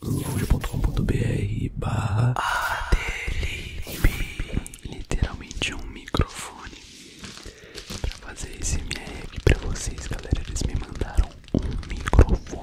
lounge.com.br barra literalmente um microfone para fazer esse MR aqui pra vocês galera, eles me mandaram um microfone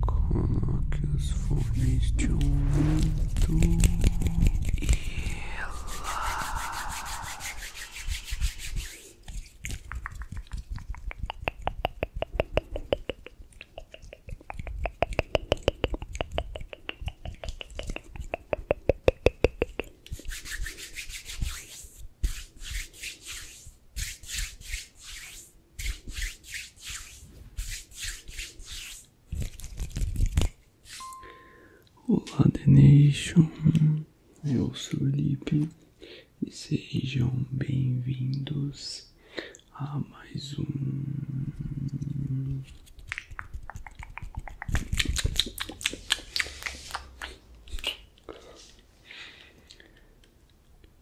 Coloque os fones de ouvido e relaxe. Olá, The Eu sou o Lipe e sejam bem-vindos a mais um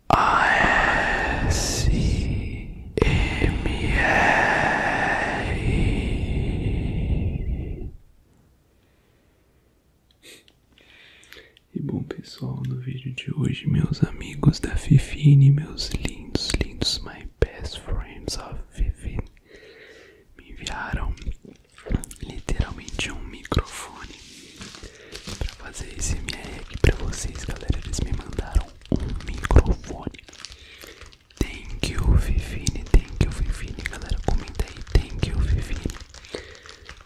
ASMR. E bom pessoal, no vídeo de hoje, meus amigos da Fifine, meus lindos, lindos, my best friends of Fifine, me enviaram literalmente um microfone Pra fazer esse MR aqui pra vocês, galera, eles me mandaram um microfone. Thank you, Vivine. Thank you, Vivine. Galera, comenta aí. Thank you, Vivine.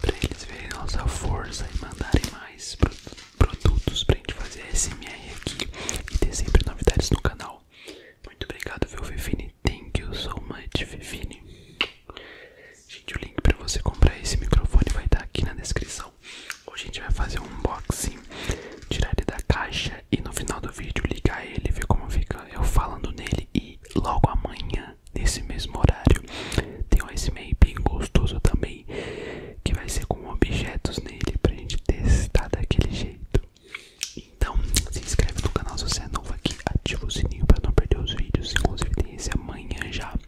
Pra eles verem nossa força e mandarem mais pro produtos pra gente fazer SMR aqui e ter sempre novidades no canal. Muito obrigado, viu, Vivine? Thank you so much, Vivine. Gente, o link para você comprar esse microfone vai estar tá aqui na descrição. Hoje a gente vai fazer um unboxing, tirar ele da caixa e no final do vídeo ligar ele, ver como fica eu falando nele e logo amanhã, nesse mesmo horário, tem um SMA bem gostoso também, que vai ser com objetos nele para a gente testar daquele jeito. Então, se inscreve no canal se você é novo aqui, ativa o sininho para não perder os vídeos, inclusive tem esse amanhã já.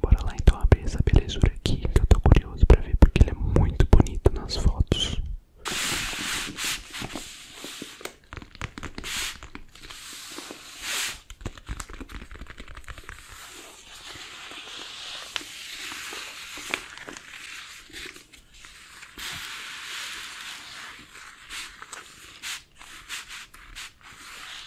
Bora lá então abrir essa belezura aqui que eu tô curioso pra ver porque ele é muito bonito nas fotos.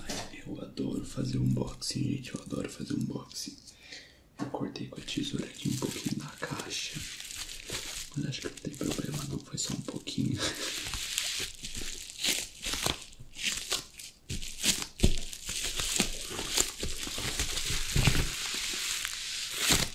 Ai, eu adoro fazer unboxing, gente. Eu adoro fazer unboxing. Eu cortei com a tesoura aqui um pouquinho na caixa. Mas acho que não tem problema não, foi só um pouquinho.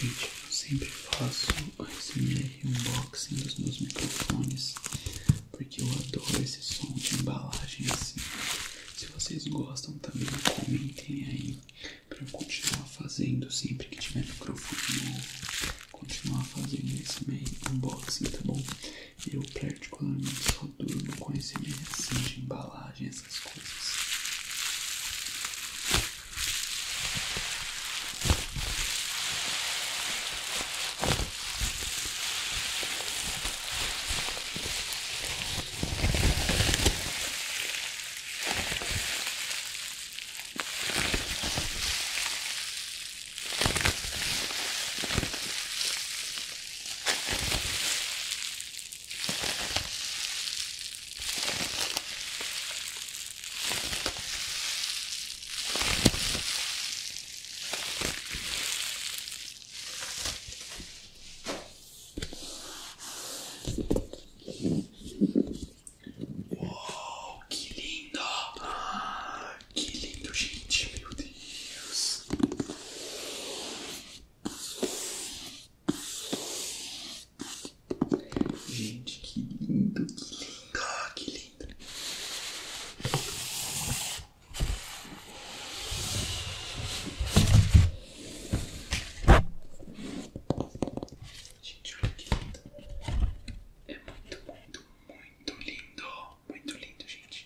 Gente, eu sempre faço ASMR unboxing dos meus microfones, porque eu adoro esse som de embalagem assim. Se vocês gostam também, comentem aí para eu continuar fazendo sempre que tiver microfone novo. Continuar fazendo esse unboxing, tá bom? Eu particularmente só durmo com esse assim, meio de embalagem massagem, ah, essas coisas. Uou, que lindo! Ah, que lindo, gente, meu Deus! Gente, que lindo, que lindo, ah, que lindo. Gente, olha que lindo. É muito, muito, muito lindo. Muito lindo, gente.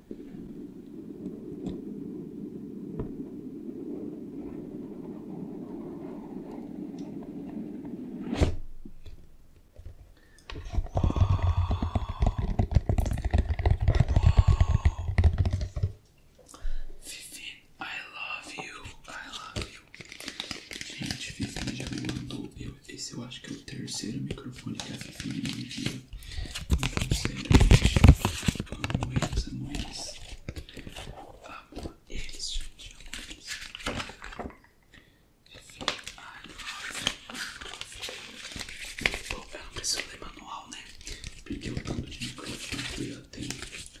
Vivi, I love you, I love you. Gente, Vivi já me mandou. Eu, esse eu acho que é o terceiro microfone que a Vivi me enviou. Então você ama eu ler manual, né? Porque o tanto de microfone que eu tenho,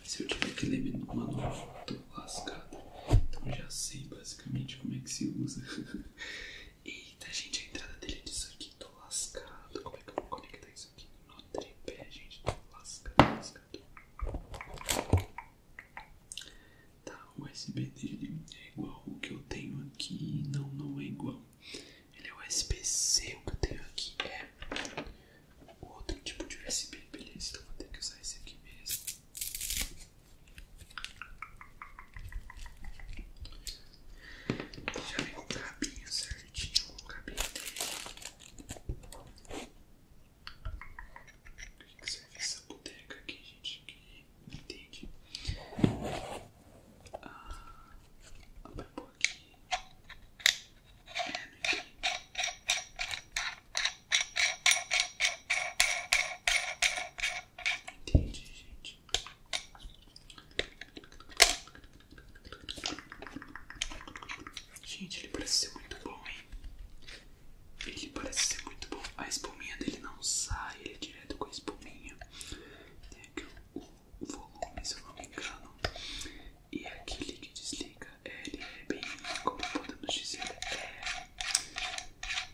se eu tiver que ler manual, eu tô lascado. Então já sei basicamente como é que se usa. Eita, gente, a entrada dele é disso aqui. Tô lascado. Como é que eu vou conectar isso aqui? No tripé, gente. Tô lascado, Tá, o USB dele é igual o que eu tenho aqui. Não, não é igual. Ele é USB-C. O que eu tenho aqui é outro tipo de USB. Beleza, então vou ter que usar esse aqui mesmo. Deixa eu ver o cabinho certinho, o cabinho dele. O que, serve essa boteca aqui, gente? Que não entende. Ah, abra um aqui. É, meu Entendi, gente. Gente, ele parece ser muito bom, hein? Ele parece ser muito bom. A espuminha dele não sai, ele é direto com a espuminha. Tem aqui o, volume, se eu não me engano. E aquele que desliga, ele é bem, como podemos dizer, é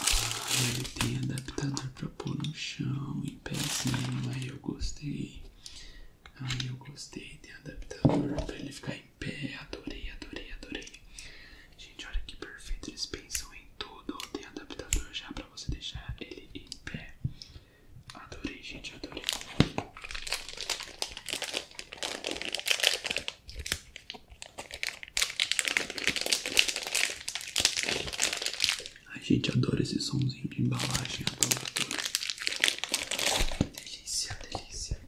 Ah, ele tem adaptador pra pôr no chão, em pezinho, aí eu gostei. Aí eu gostei, tem adaptador pra ele ficar em pé, adorei, adorei, adorei. Gente, olha que perfeito, eles pensam em tudo. Tem adaptador já pra você deixar ele em pé. Adorei, gente, adorei. A gente adora esse somzinho de embalagem, adora, adora. Delícia, delícia.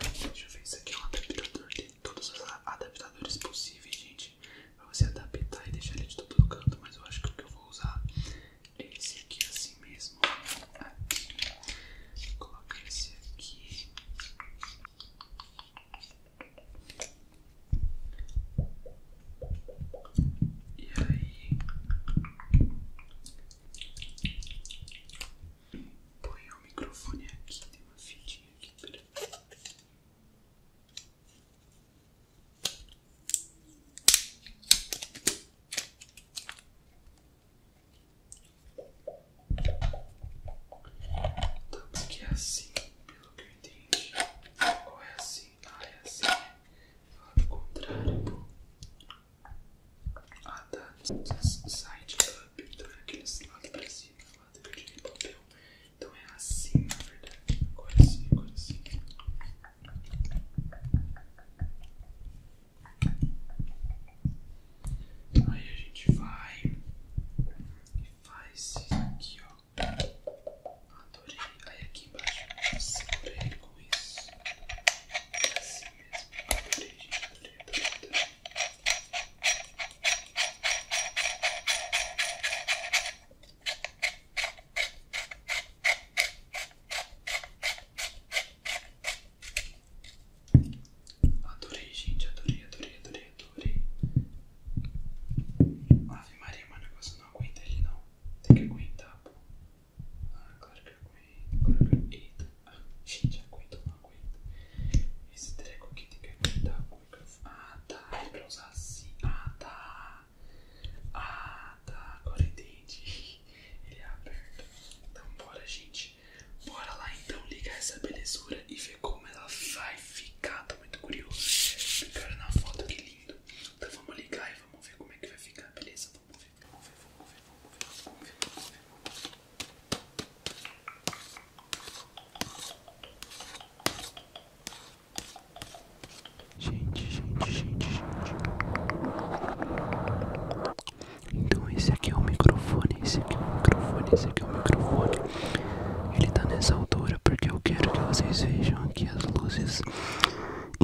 Deixa eu ver, isso aqui é um adaptador, tem todos os adaptadores possíveis, gente. Pra você adaptar e deixar ele de todo canto, mas eu acho que o que eu vou usar é esse aqui assim mesmo. Aqui. Coloca esse aqui. E aí, põe o microfone aqui, tem uma fitinha aqui, peraí. Então, que é assim, pelo que eu entendi. Ou é assim, não ah, é assim. Né? Fala o contrário, Ah, tá. Side up, tá então é aqueles lado pra cima, lado que eu tirei papel. Então é assim, na verdade. Agora sim, agora sim. Aí a gente vai e faz isso aqui, ó. Adorei. Aí aqui embaixo eu segurei com isso. É assim mesmo. Adorei, gente. Adorei, adorei, Adorei, gente, adorei, adorei, adorei, adorei. Ave Maria, mas o negócio não aguenta ele não. Tem que aguentar, pô. Ah, claro que aguenta, claro que ah, gente, aguenta ou não aguenta? Esse treco aqui tem que aguentar com Ah, tá, é pra usar assim. Ah, tá. Ah, tá, agora entendi. Ele é aberto. Então, bora, gente. Bora lá então ligar essa belezura e ver como ela vai ficar. Tô muito curioso. Ficaram na foto, que lindo. Então vamos ligar e vamos ver como é que vai ficar, beleza? Vamos ver, vamos ver, vamos ver, vamos ver, vamos ver, vamos ver. Vamos ver. Gente, gente, gente, gente. Então esse aqui é o microfone, esse aqui é o microfone, esse aqui é o microfone. Ele tá nessa altura porque eu quero que vocês vejam aqui as luzes.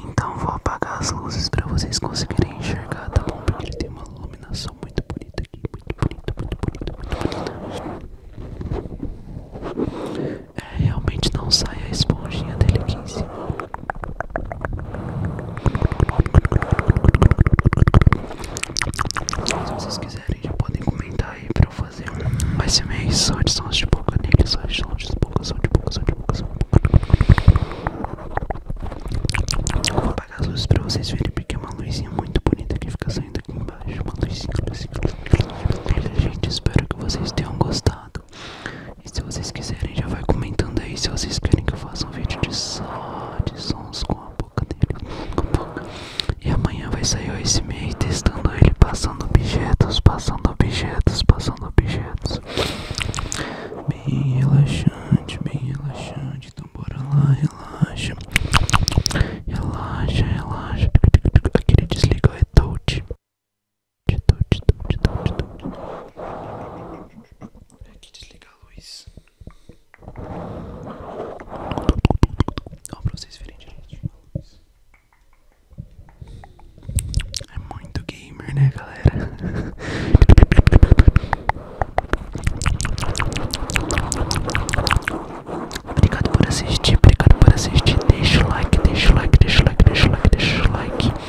Então vou apagar as luzes para vocês conseguirem enxergar, tá bom? Porque ele tem uma iluminação muito bonita aqui, muito bonita, muito bonita, muito bonita. É, realmente não sai a esponjinha dele aqui em cima. Se vocês quiserem, já podem comentar aí pra eu fazer esse mês só de sons de boca nele, né, é só de de boca, só de boca, só de boca, só de boca. Eu vou apagar as luzes pra vocês verem, porque é uma luzinha muito bonita que fica saindo aqui embaixo. Uma luzinha, luzinha. Gente, espero que vocês tenham gostado. E se vocês quiserem, já vai comentando aí se vocês querem que eu faça um vídeo de só de sons com a boca dele. E amanhã vai sair o SME testando ele, passando objetos, passando objetos, passando objetos. Bem relaxante, bem relaxante. Então bora lá, relaxa. Relaxa, relaxa. Aqui ele desliga é touch. Touch, touch, touch, touch. Aqui desliga a luz. É muito gamer, né, galera? Obrigado por assistir, obrigado por assistir. Deixa o like, deixa o like, deixa o like, deixa o like, deixa o like.